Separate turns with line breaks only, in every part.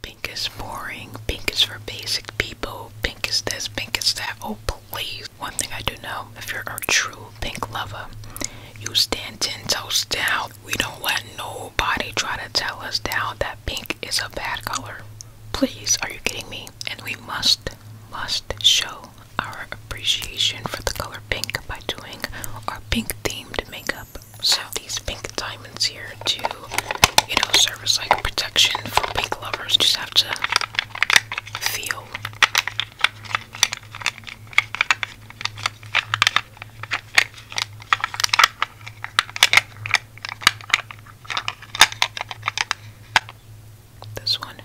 Pink is boring. Pink is for basic people. Pink is this. Pink is that. Oh, please. One thing I do know if you're a true pink lover, you stand ten toes down. We don't let nobody try to tell us down that pink is a bad color. Please, are you kidding me? And we must, must show our appreciation for the color pink by doing our pink themed makeup. So these pink diamonds here to, you know, serve as like protection for pink lovers. Just have to feel. This one.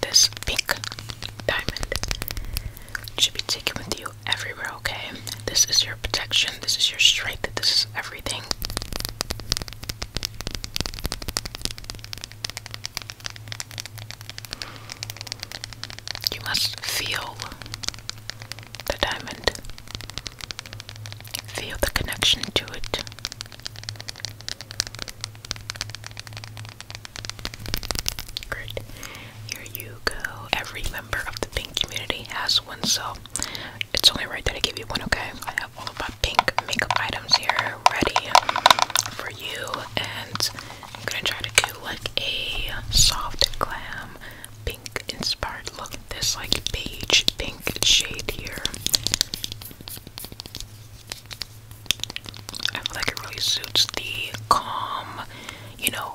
This pink diamond should be taken with you everywhere, okay? This is your protection, this is your strength, this is everything. You must feel the diamond, feel the connection to it. Great. Here you go. Every of the pink community has one, so it's only right that I give you one, okay? I have all of my pink makeup items here ready um, for you, and I'm gonna try to do like a soft glam pink inspired look. This like beige pink shade here. I feel like it really suits the calm, you know,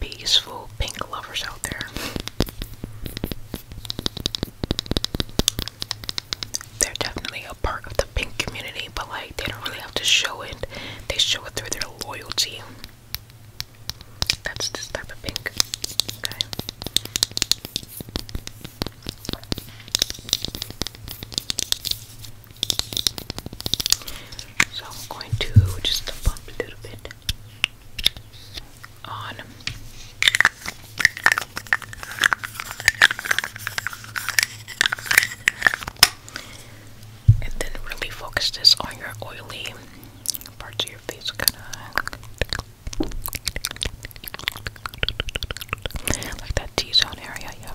peaceful pink lovers out there. They're definitely a part of the pink community, but like they don't really have to show it. They show it through their loyalty. That's this type of pink. Okay. So I'm going to just bump a little bit on. And then really focus this on your oily parts of your face. Kinda like that T-zone area, yeah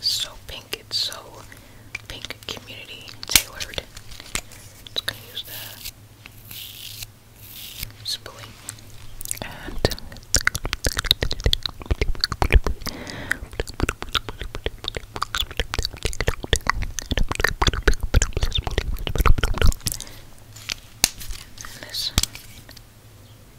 so pink. It's so pink community tailored. Just gonna use the spoolie and this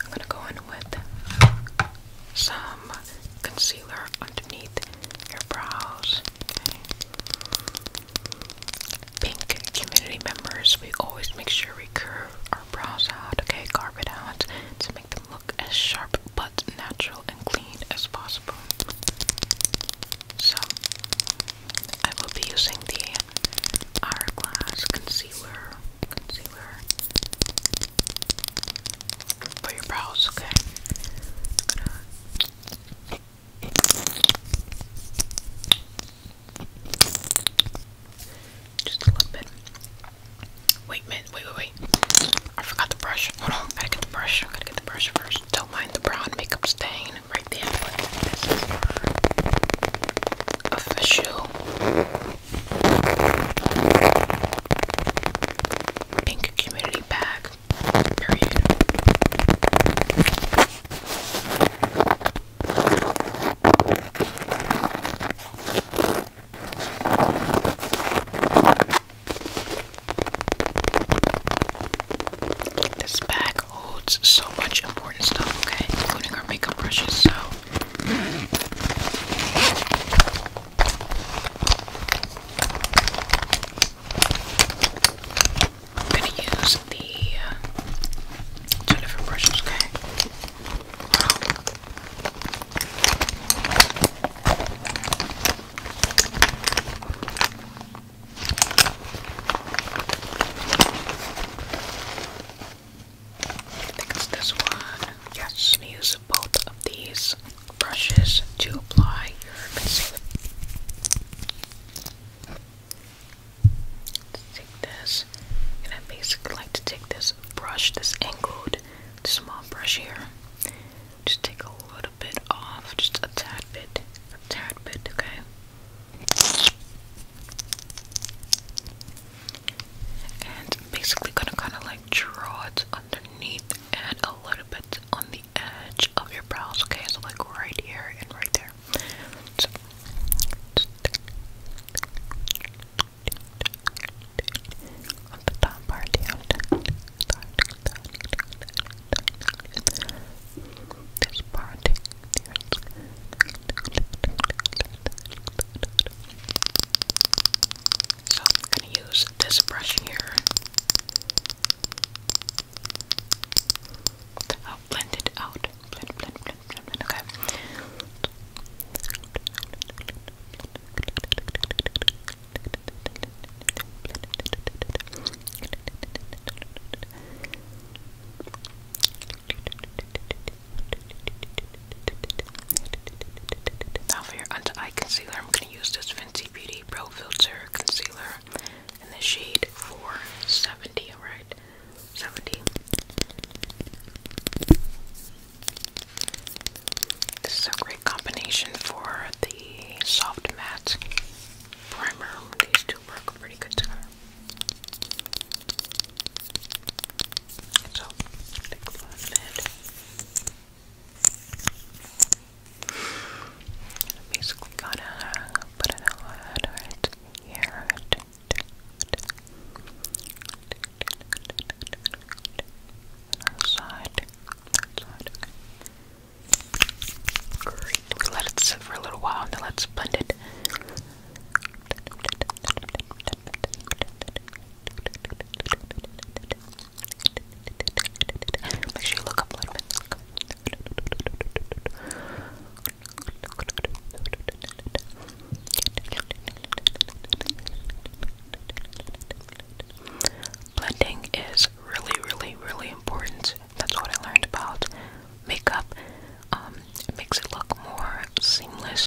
I'm gonna go in with some concealer underneath your brows. Okay. Pink community members, we always make sure we curve our brows out, okay, carve it out to make them look as sharp but natural and clean as possible. So, I will be using the Hourglass Concealer for your brows, okay? just a little bit. Wait, man, wait, wait, wait. I forgot the brush. Hold on, I gotta get the brush. I gotta get the brush first. Don't mind the brown makeup stain right there. official Pink community bag. Period. This bag holds so much important stuff, okay? Including our makeup brushes, so I'm going to use the uh, two different brushes, okay? I think it's this one. Yes, use both of these brushes to apply your concealer. take this, and I basically like to take this brush, this angled, small brush here. Just take a little bit off, just a tad bit, a tad bit, okay? and basically gonna kind of like draw it underneath and a little bit on the edge of your brows okay so like right here and right there so we're going to use this brush here to oh, blend it out. Blend, blend, blend, blend, Okay. Now for your under eye concealer, I'm going to use this Fenty Beauty Pro Filter Concealer in the shade 470, Right, 70. This is a great combination for the soft matte primer. These two work pretty good together basically gonna put it on right here. On the Let it sit for a little while and then let's blend it. Make sure you look a little bit. Blending is really, really, really important. That's what I learned about makeup. Um, it makes it look more seamless.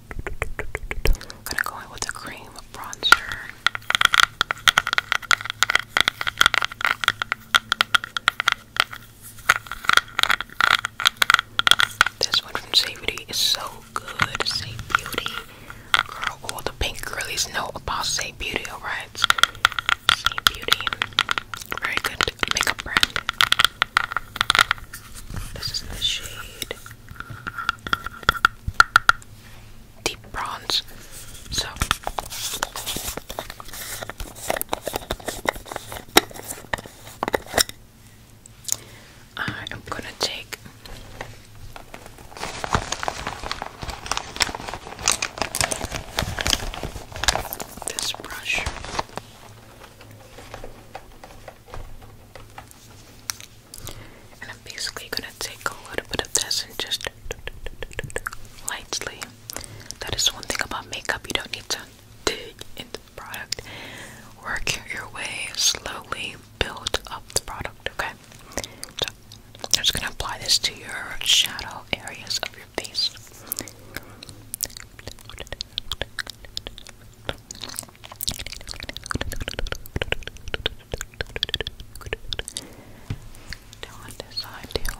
I'm gonna go in with a cream bronzer. This one from Save Beauty is so good. Save Beauty. Girl, all the pink girlies know about Save Beauty, alright? Save Beauty. Very good makeup brand. This is in the shade Deep Bronze. So I am gonna take this brush and I'm basically gonna take a little bit of this and just lightly. That is one thing about makeup, you don't need to dig into the product. Work your way slowly, build up the product, okay? I'm just gonna apply this to your shadow areas of your face. Now on this side too.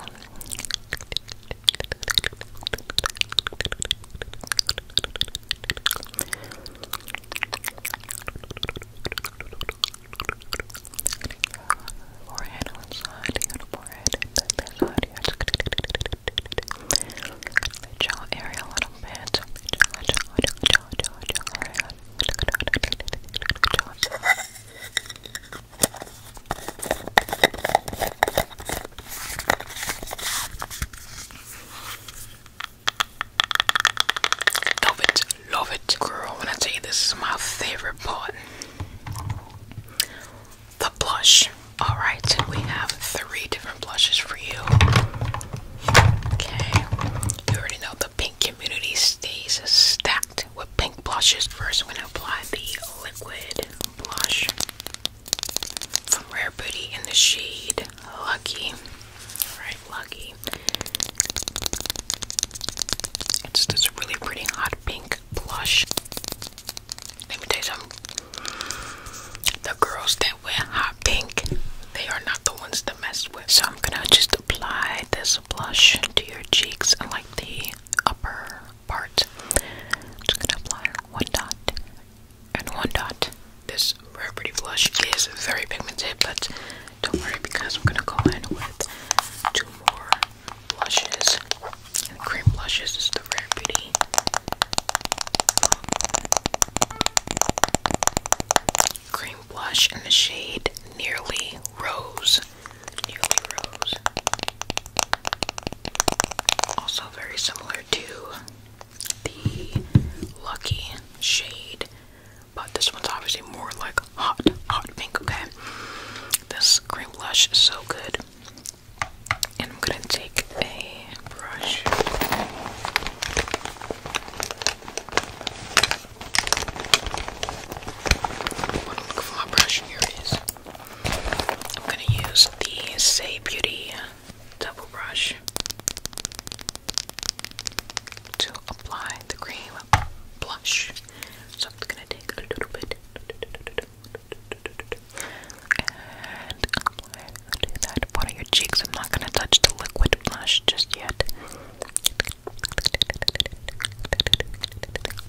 Forehead on side, you know, forehead, and then this side, yes. The jaw area a Love it, love it, girl. When I tell you this is my favorite part the blush. Alright, we have three different blushes for you. Okay, you already know the pink community stays stacked with pink blushes. 1st we I'm going to apply the liquid blush from Rare Beauty in the shade Lucky. Alright, Lucky. It's this really pretty hot pink blush. Let me tell you something. The girls that wear hot pink, they are not the ones to mess with. So I'm gonna just apply this blush to your cheeks like the upper part. just gonna apply one dot and one dot. This Rare Pretty blush is very pigmented, but don't worry because I'm gonna go in with two more blushes. And cream blushes is the rare beauty. Cream blush in the shade Nearly Rose. Nearly Rose. Also very similar to the Lucky shade, but this one's obviously more like hot, hot pink, okay? This cream blush is so good. And I'm gonna take a brush. One look for brush, here it is. I'm gonna use the Say Beauty double brush to apply the cream blush. So I'm gonna take a little bit. And apply. I'll do that. What are your cheeks? I'm not gonna touch the liquid blush just yet.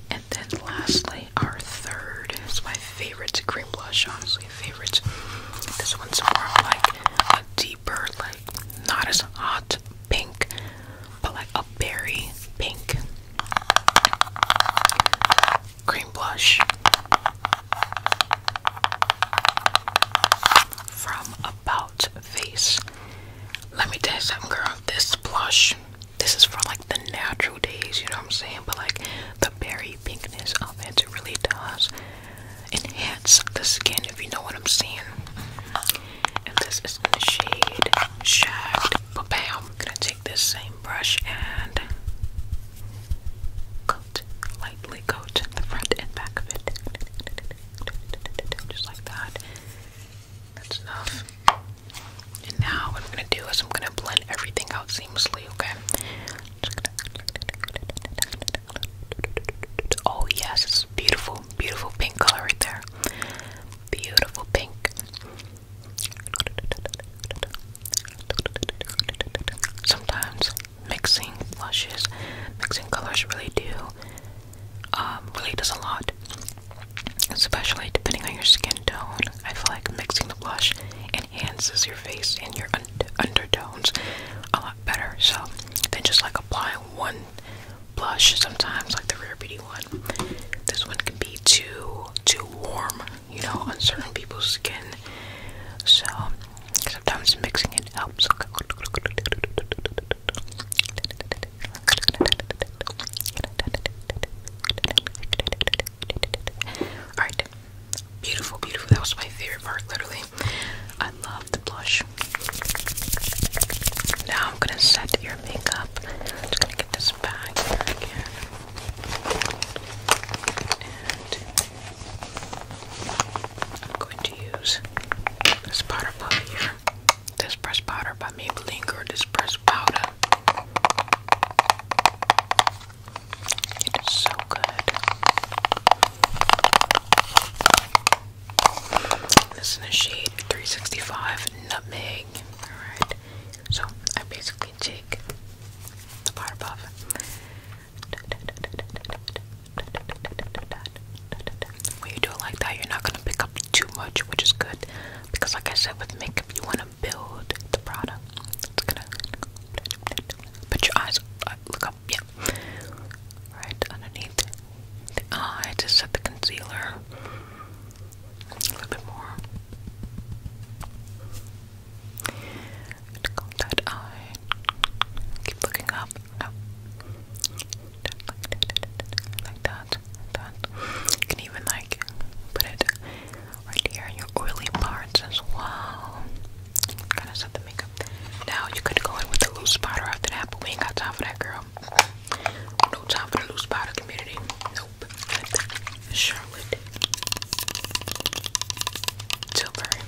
And then lastly, our third is my favorite cream blush, honestly, favorite. This one's more like a deeper, like not as hot pink, but like a berry pink cream blush from About Face. Let me tell you something, girl. This blush, this is for like the natural days, you know what I'm saying? But like the berry pinkness of it, really does enhance the skin, if you know what I'm saying. And this is in the shade Shagged. But bam, I'm gonna take this same brush and coat, lightly coat the front and back of it. Just like that. That's enough. And now what I'm gonna do is I'm gonna blend everything out seamlessly, okay? Oh yes, beautiful, beautiful pink color right there. Beautiful pink. Sometimes mixing blushes, mixing colors really do, um, really does a lot. Especially depending on your skin tone, I feel like mixing the blush enhances your face and your undertones a lot better. So than just like applying one blush. Sometimes like the Rare Beauty one, this one can be too too warm you know, on certain people's skin. So sometimes mixing it helps. Alright. Beautiful, beautiful. That was my favorite part, literally. I love the blush. Now I'm gonna set your makeup. just gonna get this back here again. I'm going to use this powder puff here. This pressed powder by Maybelline or this pressed powder. It is so good. This is in the shade 365 Nutmeg. Alright, so I basically take when you do it like that, you're not gonna pick up too much, which is good because, like I said, with makeup, you wanna build the product. It's gonna put your eyes up, uh, look up, yeah, right underneath the eye to set the concealer a little bit more. And comb that eye. Keep looking up. No. Oh. Like that. that. You can even like put it right here in your oily parts as well. Kind of set the makeup. Now you could go in with a loose powder after that, but we ain't got time for that, girl. No time for the loose powder community. Nope up Charlotte Tilbury.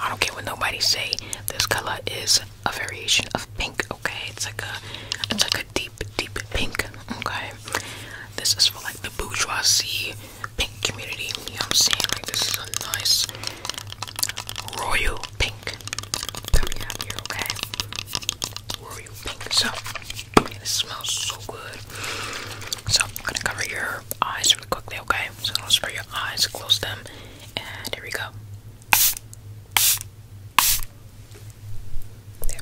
I don't care what nobody say. This color is a variation of pink. Okay, it's like a it's like a deep, deep pink. Okay, this is for like the bourgeoisie pink community. You know what I'm saying? Like this is a nice royal pink Okay, where are you pink? So, this smells so good. So, I'm gonna cover your eyes really quickly, okay? So, I'm gonna spray your eyes, close them, and here we go. There.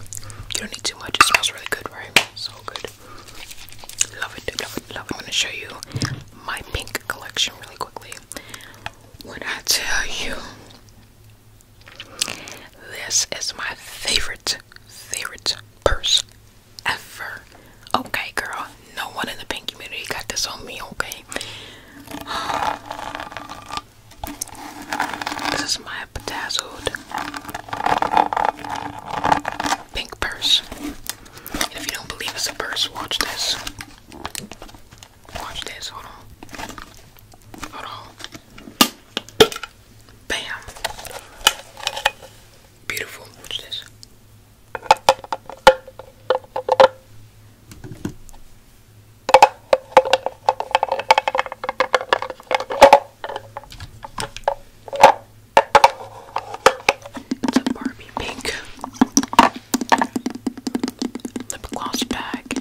You don't need too much, it smells really good, right? So good. Love it, love it, love it. I'm gonna show you my pink collection really quickly. When I tell you, this is my favorite, favorite purse ever. Okay, girl, no one in the pink community got this on me, okay? This is my bedazzled pink purse. if you don't believe it's a purse, watch this. Watch this, hold on. Hold on. Bam. Beautiful. What's this? It's a Barbie pink lip gloss bag.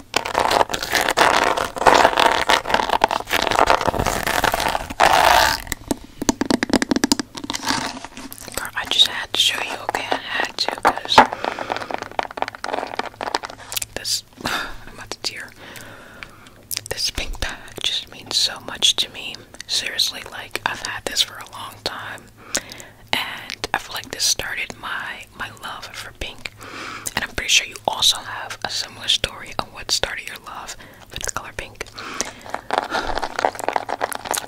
Girl, I just had to show you, okay? I had to, because this, I'm about to tear. This pink bag just means so much to me. Seriously, like, I've had this for a long time, and I feel like this started my my love for pink. And I'm pretty sure you also have a similar story of what started your love with the color pink.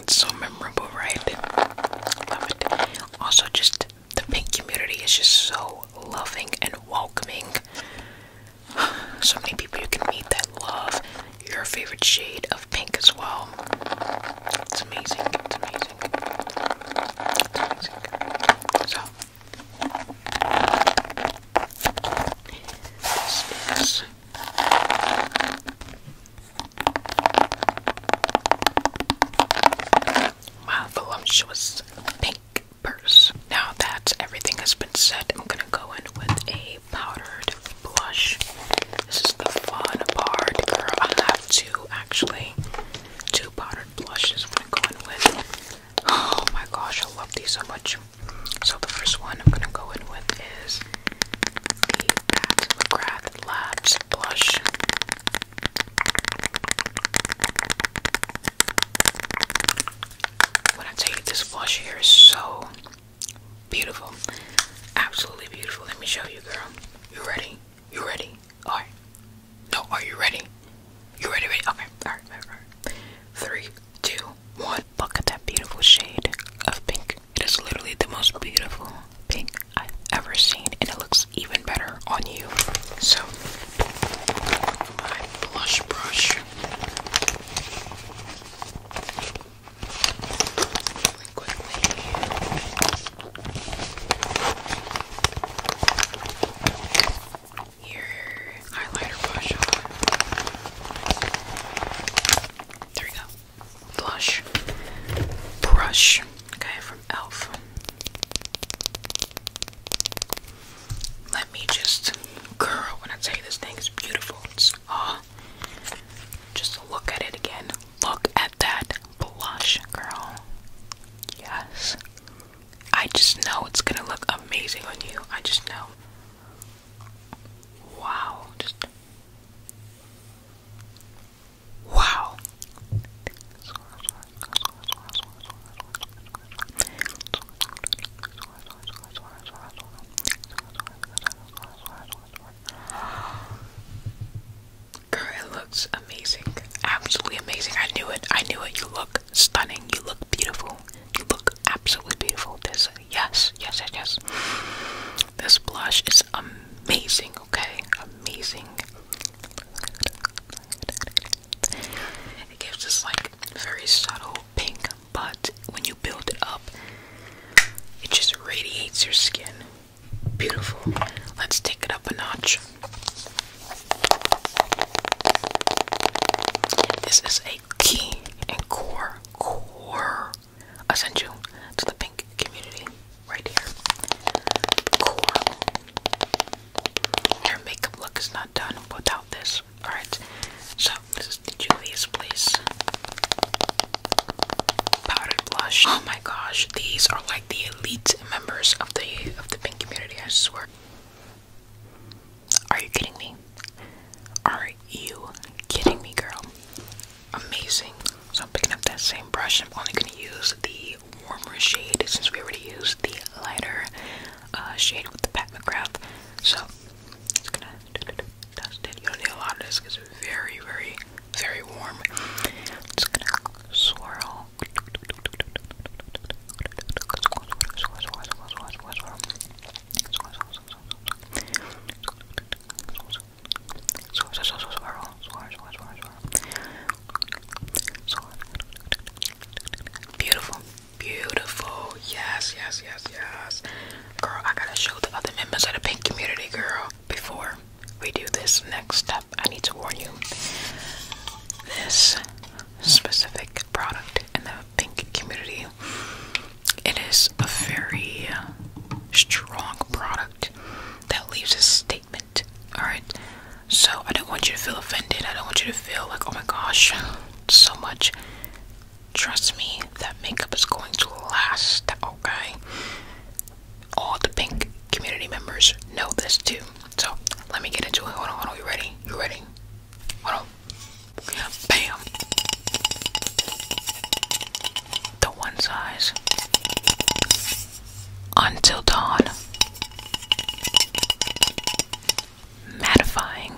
It's so memorable, right? Love it. Also, just the pink community is just so loving and welcoming. So many people you can meet that love your favorite shade of pink as well. It's amazing. It's amazing. It's amazing. So my voluptuous pink purse. Now that everything has been said, I'm gonna go in with a powdered blush. This is the fun part, girl. I have two actually, two powdered blushes. Oh my gosh, I love these so much. So the first one I'm gonna go in with is the Pat Labs blush. When I tell this blush here is so beautiful, absolutely beautiful. Let me show you, girl. You ready? You ready? Alright. No, are you ready? You ready, ready? Okay, alright, alright, alright. Three, two, one. Look at that beautiful shade of pink. It is literally the most beautiful pink I've ever seen, and it looks even better on you. So, my blush brush. Your highlighter brush on. There we go. Blush. Brush. Okay, from e.l.f. Let me just. Girl, when I tell you this thing is beautiful, it's. Oh, just look at it again. Look at that blush, girl. Yes. I just know it's gonna look amazing on you. I just know. Wow. Wow. Girl, it looks amazing. Absolutely amazing. I knew it. I knew it. You look stunning. You look beautiful. You look absolutely beautiful. This, yes, yes, yes, yes. This blush is amazing, okay? Amazing. It gives this like very subtle pink, but when you build it up, it just radiates your skin. Beautiful. Let's take it up a notch. This is a key and core, core essential to the pink community right here. Core. Your makeup look is not done without this. Alright, so this is the Julius Place powdered blush. Oh my gosh, these are like the elite hate members of the of the pink community, I swear. Are you kidding me? Are you kidding me, girl? Amazing. So I'm picking up that same brush. I'm only gonna use the warmer shade since we already used the lighter uh, shade with the Pat McGrath. So it's gonna dust it. You don't need a lot of this because it's very, very, very warm. Just gonna swirl Beautiful, beautiful. Yes, yes, yes, yes. Girl, I gotta show the other members of the pink community, girl, before we do this next step. I need to warn you. This specific product in the pink community, it is a very strong product that leaves a statement. Alright? So I don't want you to feel offended. I don't want you to feel like, oh my gosh, so much. Trust me, that makeup is going to last, okay? all the pink community members know this too. So let me get into it. Hold on, You ready? You ready? Hold on. Bam. The one size. Until dawn. Mattifying.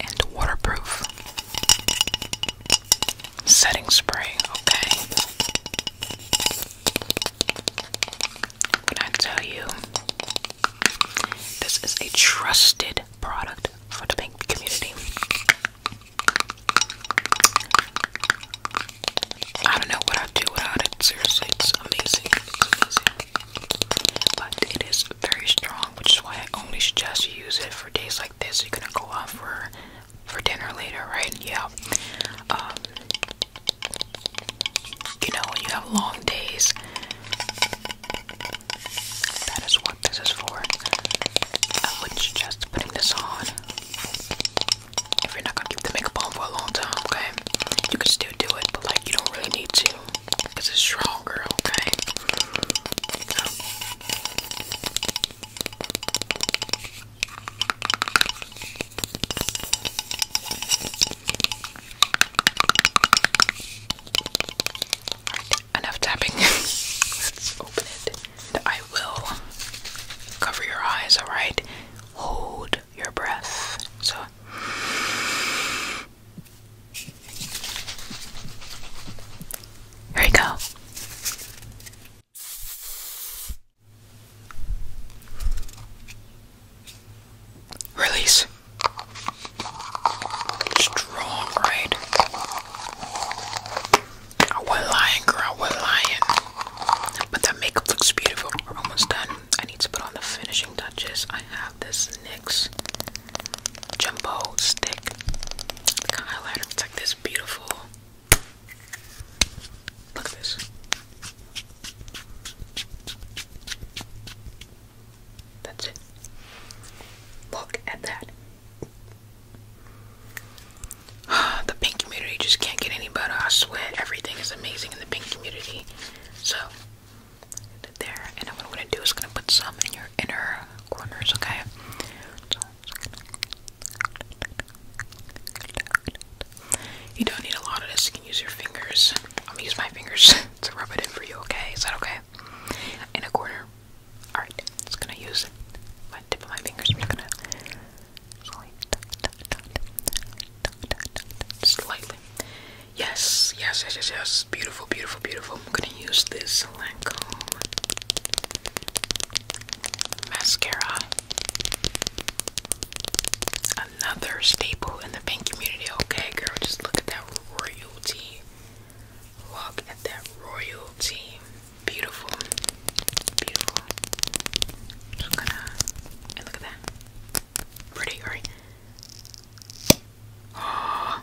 And waterproof setting spray, okay? Can I tell you, this is a trusted product for the pink community. I don't know what I'd do without it. Seriously, it's amazing. But it is very strong, which is why I only suggest you use it for days like this. You're gonna go out for for dinner later, right? Yeah. Um, you know, when you have long days, that is what this is for. I would suggest putting this on if you're not gonna keep the makeup on for a long time, okay? You can still do it, but like you don't really need to because it's stronger, okay? enough tapping. Let's open it. And I will cover your eyes, alright? Hold your breath. So here we go. Release. Strong, right? I wasn't lying, girl. I was lying. But that makeup looks beautiful. We're almost done. I need to put on the finishing touches. I have this NYX Jumbo Stick. highlighter. It's like this beautiful Look at this. That's it. Look at that. the pink community just can't get any better. I swear everything is amazing in the pink community. So, there. And what I'm going to do is going to put some in your inner corners, okay? You don't need a lot of this, you can use your fingers. I'm gonna use my fingers to rub it in for you, okay? Is that okay? In a corner. Alright, just gonna use my tip of my fingers. just gonna slightly. Yes, yes, yes, yes, yes. Beautiful, beautiful, beautiful. I'm gonna use this silicone Mascara. Another staple in the pink community. Okay, girl, just look at that royalty. Look at that royalty. Beautiful. Beautiful. Just gonna. look at that. Pretty, right? Oh.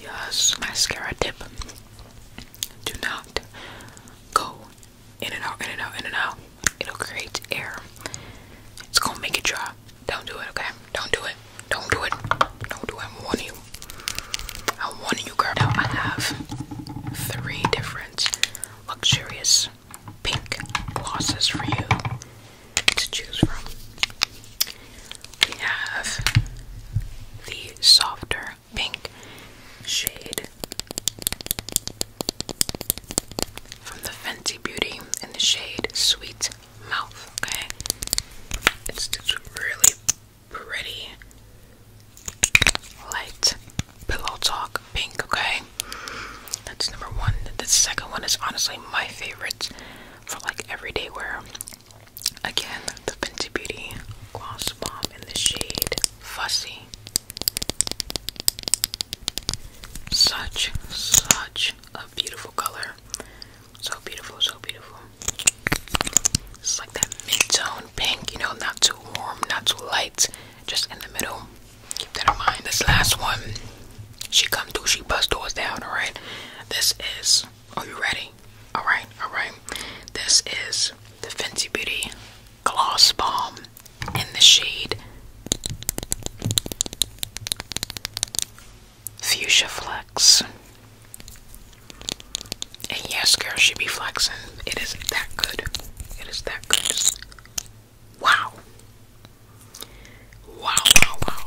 Yes, mascara tip. Do not go in and out, in and out, in and out. It'll create air. It's gonna make it dry. Don't do it, okay? Don't do it. Don't do it. Don't do it. I'm warning you. I'm warning you, girl. Now I have three different luxurious pink glosses for you to choose from we have the softer pink shade from the Fancy Beauty in the shade Sweet Mouth. Okay, it's this really pretty light pillow talk pink. Okay, that's number one. The second one is honestly my favorite for like everyday wear. Again, the Fenty Beauty Gloss Bomb in the shade Fussy. Such, such a beautiful color. So beautiful, so beautiful. It's like that mid-tone pink, you know, not too warm, not too light, just in the middle. Keep that in mind. This last one, she come through, she bust doors down, alright? This is, are you ready? Alright, alright. This is the Fancy Beauty Gloss Balm in the shade Fuchsia Flex. And yes, girl, she be flexing. It is that good. It is that good. Wow, wow, wow.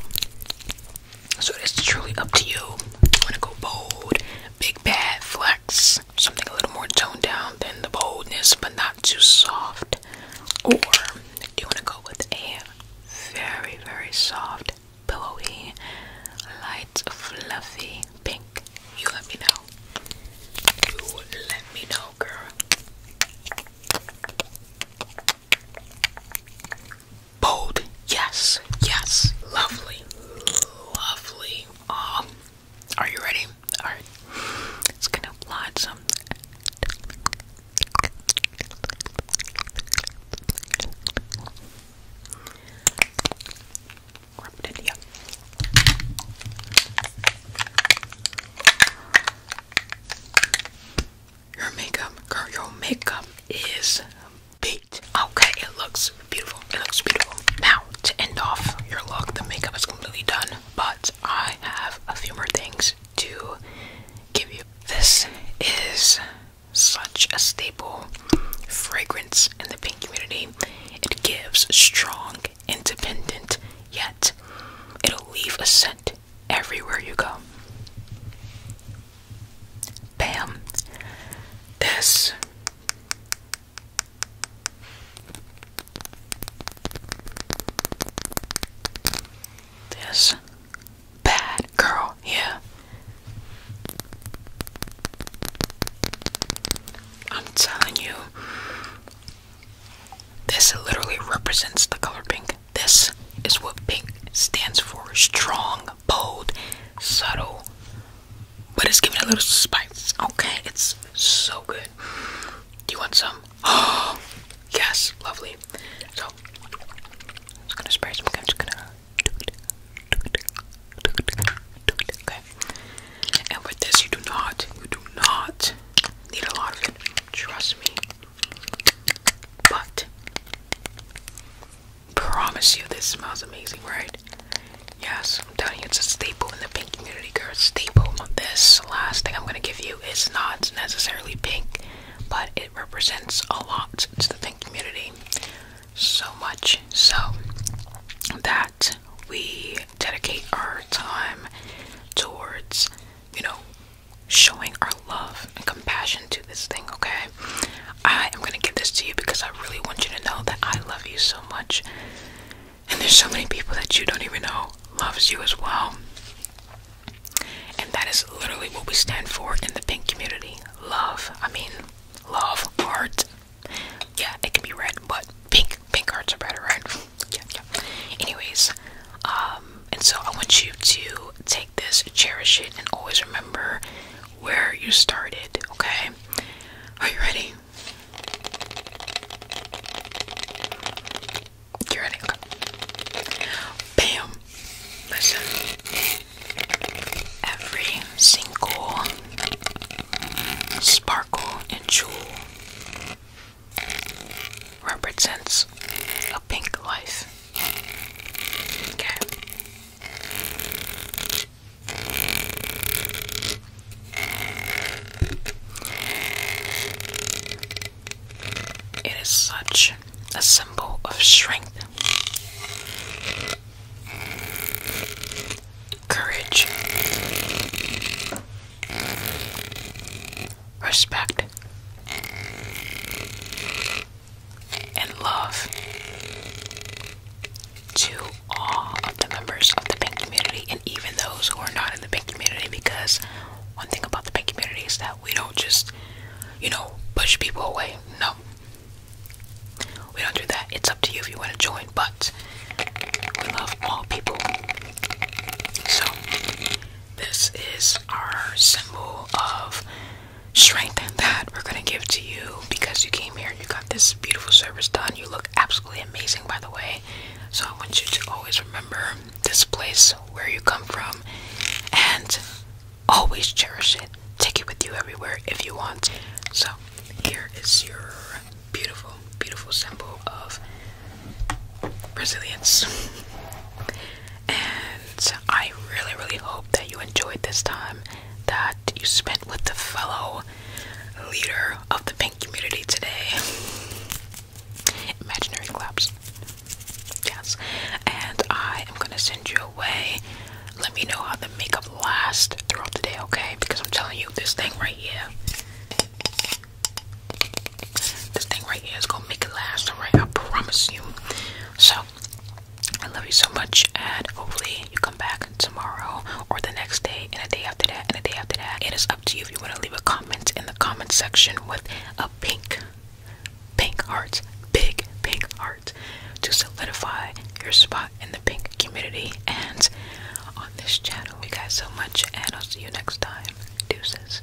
So it's truly up to you. You want to go bold, big bad flex, something a little more toned down than the boldness, but not too soft, or do you want to go with a very, very soft, pillowy, light, fluffy pink? You let me know. You let me know, girl bold. Yes, yes, lovely, lovely. Um, are you ready? All right, it's gonna apply some. Rub it in your makeup, girl, your makeup is beat. Okay, it looks beautiful. It looks beautiful. Now, to end off your look, the makeup is completely done, but I have a few more things to give you. This is such a staple fragrance in the pink community. It gives strong, independent, yet it'll leave a scent everywhere you go. Bam. This this bad girl yeah I'm telling you this literally represents the color pink this is what pink stands for strong, bold, subtle, but it's giving a little spice. Okay, it's so good. Do you want some? Oh, yes, lovely. So, I'm just gonna spray some. I'm just gonna Okay. And with this, you do not, you do not need a lot of it. Trust me. But promise you this smells amazing, right? Yes, I'm telling you it's a staple in the pink community, girl. Staple. This last thing I'm gonna give you is not necessarily pink, but it represents a lot to the pink community. So much so that we dedicate our time towards, you know, showing our love and compassion to this thing, okay? I am gonna give this to you because I really want you to know that I love you so much. And there's so many people that you don't even know loves you as well. And that is literally what we stand for in the pink community. Love. I mean, love, art. Yeah, it can be red, but pink, pink hearts are better, right? Yeah, yeah. Anyways, um, and so I want you to take this, cherish it, and always remember where you started, okay? Are you ready? You ready? Bam! Listen. Every single sparkle and jewel represents a pink life. It is such a symbol of strength, courage, respect, and love to all of the members of the pink community and even those who are not in the pink community because one thing about the pink community is that we don't just, you know, push people away. No. We don't do that. It's up to you if you want to join, but we love all people. So, this is our symbol of strength that we're gonna give to you because you came here. You got this beautiful service done. You look absolutely amazing, by the way. So I want you to always remember this place, where you come from, and always cherish it. Take it with you everywhere if you want. So here is your beautiful, beautiful symbol of resilience. And I really, really hope that you enjoyed this time that you spent with the fellow leader of the pink community today. Imaginary claps. Yes. And I am gonna send you away. Let me know how the makeup lasts throughout the day, okay? Because I'm telling you, this thing right here this thing right here is gonna make it last, alright? I promise you. So, I love you so much, and hopefully, you come back tomorrow or the next day, and a day after that, and a day after that. It is up to you if you want to leave a comment in the comment section with a pink, pink heart, big pink heart to solidify your spot in the pink community and on this channel. We guys so much, and I'll see you next time. Deuces.